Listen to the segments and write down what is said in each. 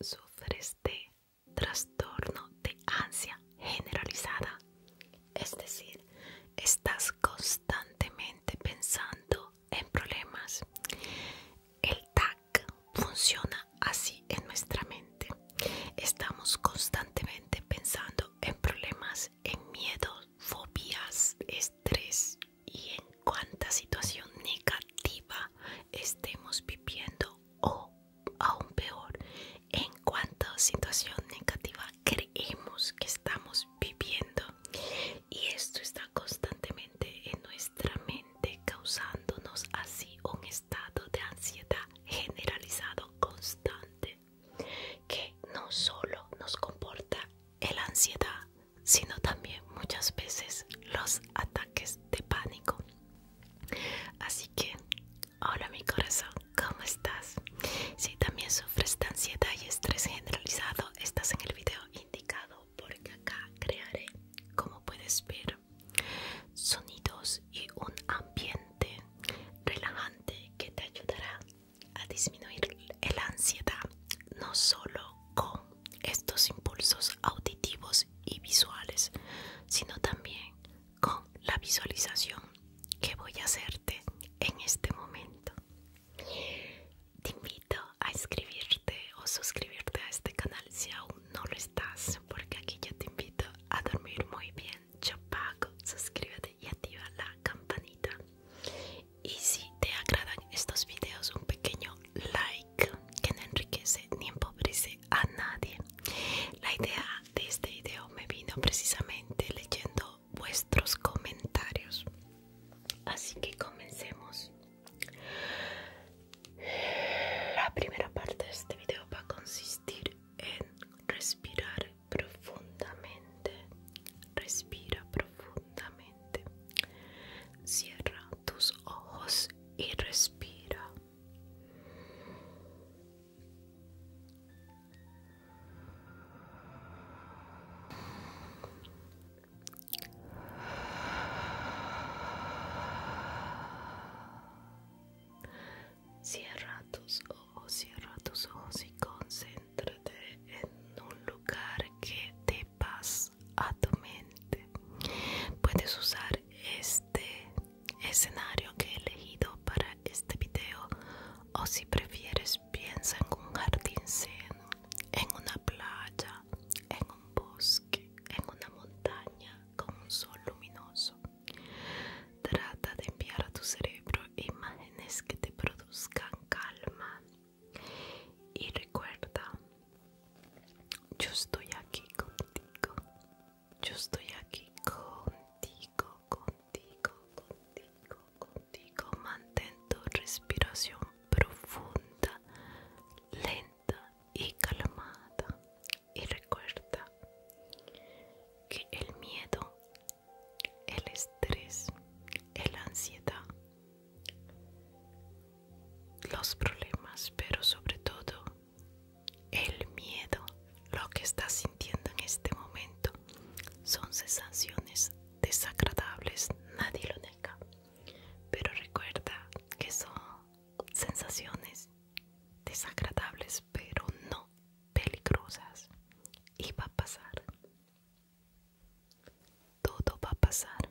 Sufres de trastorno de ansia generalizada, es decir, estás constantemente pensando en problemas. El TAC funciona así en nuestra mente. Estamos constantemente pensando en problemas, en miedos, fobias, estrés y en cuánta situación negativa estemos viviendo o aún peor en cuanto a situación negativa creemos que estamos viviendo y esto está constantemente en nuestra mente causándonos así un estado de ansiedad generalizado constante que no solo nos comporta la ansiedad sino también muchas veces los ataques de pánico. Así que, hola mi corazón, ¿cómo estás? Si también sufres de ansiedad y estrés generalizado, estás en el video indicado porque acá crearé, como puedes ver, sonidos y un ambiente relajante que te ayudará a disminuir la ansiedad, no solo con estos impulsos auditivos y visuales, sino también con la visualización que voy a hacerte en este momento. Te invito a escribirte o suscribirte a este canal si aún no lo estás, porque aquí ya te invito a dormir muy bien. Yo pago, suscríbete y activa la campanita. Y si te agradan estos videos, un pequeño like que no enriquece ni empobrece a nadie. La idea de este video me vino precisamente leyendo vuestros comentarios. Así que comencemos. La primera parte de este video va a consistir en respirar profundamente. Respira profundamente. Cierra tus ojos y respira. Cierra tus ojos, cierra tus ojos y concéntrate en un lugar que te paz a tu mente puedes usar este escenario que he elegido para este video o si prefieres piensa en un jardín seno, en una playa en un bosque en una montaña con un sol luminoso trata de enviar a tu cerebro imágenes que te produzcan calma y recuerda, yo estoy aquí contigo. Yo estoy aquí contigo, contigo, contigo, contigo. Mantén tu respiración profunda, lenta y calmada. Y recuerda que el miedo, el estrés, la ansiedad los problemas, pero sobre todo el miedo, lo que estás sintiendo en este momento, son sensaciones desagradables, nadie lo nega. Pero recuerda que son sensaciones desagradables, pero no peligrosas. Y va a pasar. Todo va a pasar.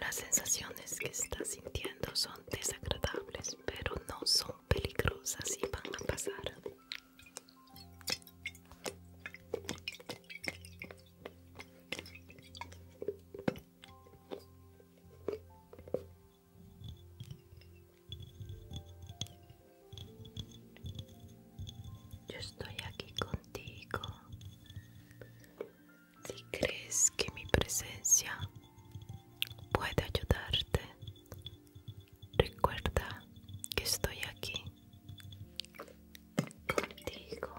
Las sensaciones que estás sintiendo son desagradables, pero no son peligrosas y van a pasar. Yo estoy aquí contigo. Si crees que mi presencia puede ayudarte, recuerda que estoy aquí contigo.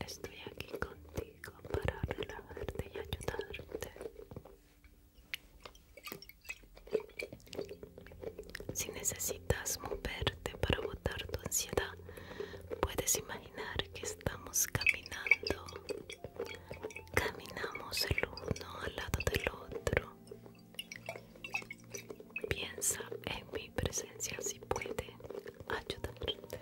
Estoy aquí contigo para relajarte y ayudarte. Si necesitas moverte para botar tu ansiedad, puedes imaginar que estamos caminando Caminamos el uno al lado del otro. Piensa en mi presencia si puede ayudarte.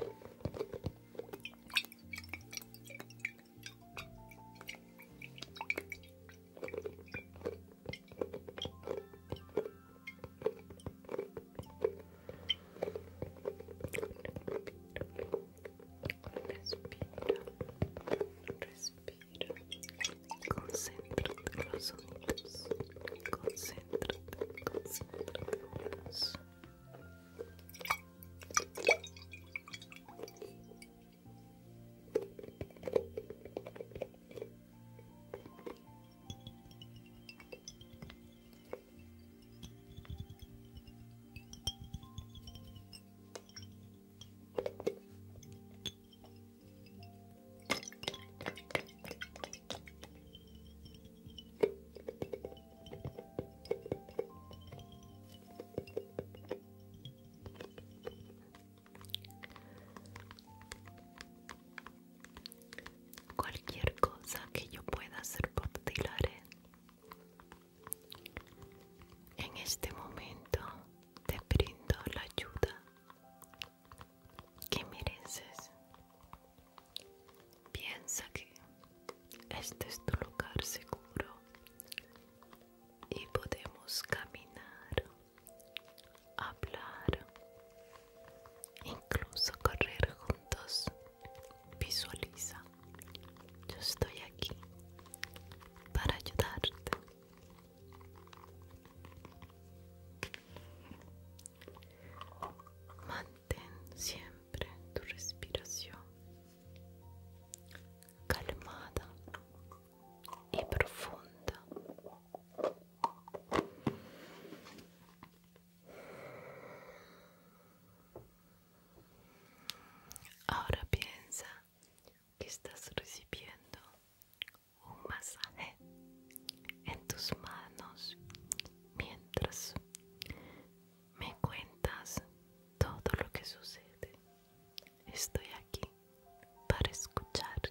Respira, respira. Concéntrate los sonidos. Concéntrate, concéntrate. Respira, Cualquier cosa que yo pueda hacer por ti en este momento te brindo la ayuda que mereces. Piensa que este es tu lugar seguro y podemos caminar, hablar, incluso correr juntos. Visualiza, yo estoy aquí para ayudarte. Mantén siempre tu respiración calmada y profunda. Ahora piensa que estás recibiendo un masaje en tus manos mientras me cuentas todo lo que sucede. Estoy aquí para escucharte.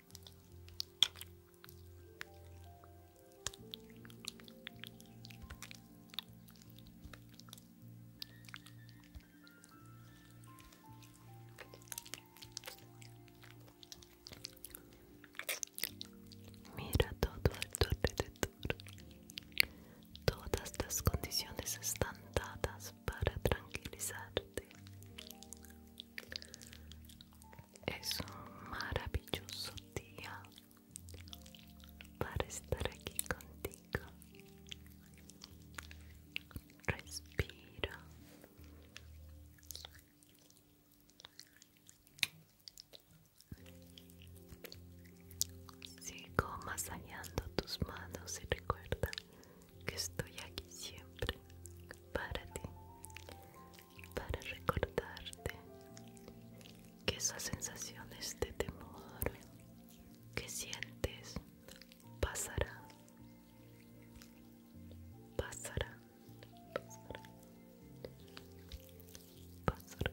Mira todo alrededor. Todas las condiciones están dadas para tranquilizarte. Es un maravilloso día para estar aquí contigo. Respira. Sigo masajeando tus manos y recuerda que estoy aquí siempre para ti, para recordarte que esas sensaciones de temor que sientes pasarán, pasarán, Pasará, pasará,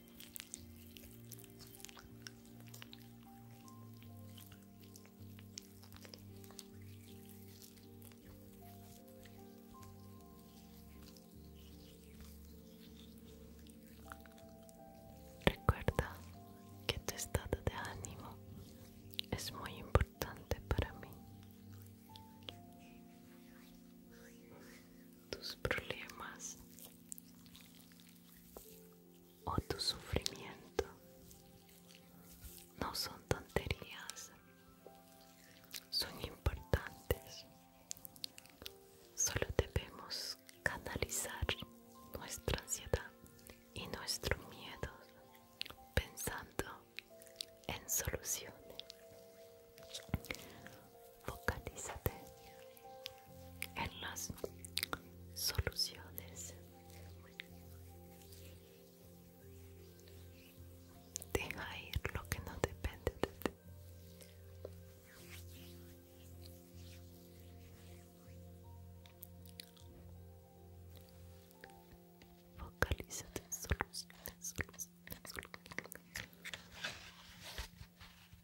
Recuerda que tu estado de ánimo es muy importante para mí tus problemas o tu sufrimiento no son tonterías, son importantes. Solo debemos canalizar nuestra ansiedad y nuestro miedo pensando en soluciones. Focalízate en las soluciones. Deja ir lo que no depende de ti. Focalízate en soluciones, soluciones.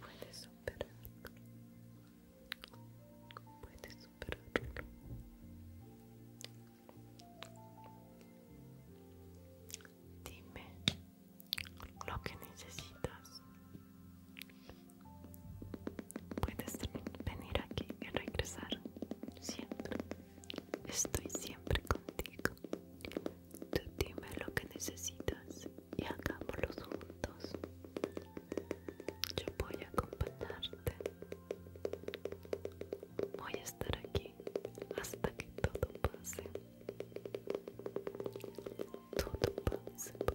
Puedes superar. Puedes superar. Dime lo que necesitas Puedes venir aquí y regresar siempre. Estoy siempre contigo. Tú dime lo que necesitas y hagámoslo juntos. Yo voy a acompañarte. Voy a estar aquí hasta que todo pase. Todo pase.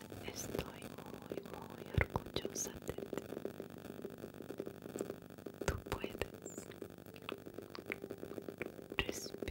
Estoy muy, muy orgullosa de ti. Tú puedes. Respira.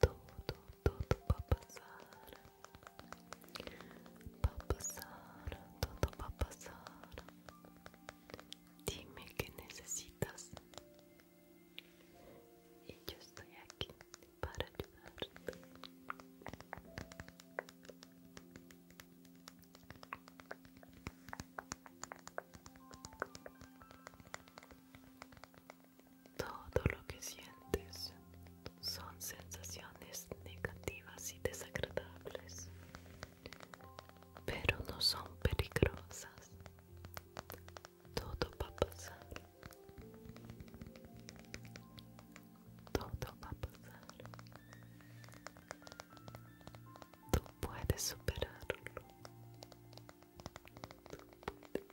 Todo, todo va a pasar. Va a pasar, todo va a pasar. Dime qué necesitas. Y yo estoy aquí para ayudarte. Todo lo que sientes son sensaciones negativas y desagradables, pero no son peligrosas. Todo va a pasar. Todo va a pasar. Tú puedes superarlo.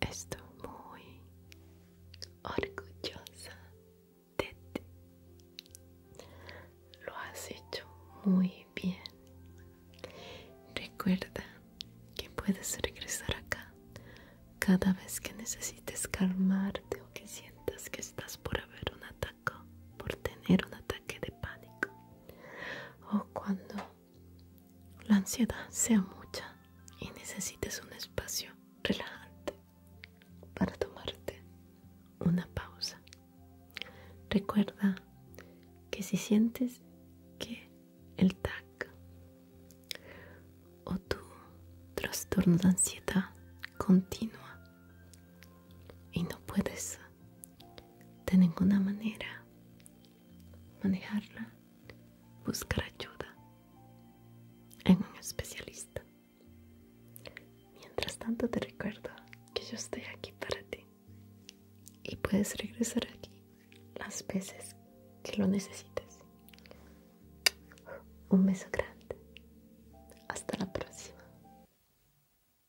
Estoy muy orgullosa de ti. Lo has hecho muy bien. Recuerda que puedes regresar acá cada vez que necesites calmarte o que sientas que estás por haber un ataque, por tener un ataque de pánico o cuando la ansiedad sea mucha y necesites un espacio relajante para tomarte una pausa. Recuerda que si sientes que el TAC o tu trastorno de ansiedad continua y no puedes de ninguna manera manejarla, buscar ayuda en un especialista. Mientras tanto te recuerdo que yo estoy aquí para ti y puedes regresar aquí las veces que lo necesites. Un beso grande. Hasta la próxima.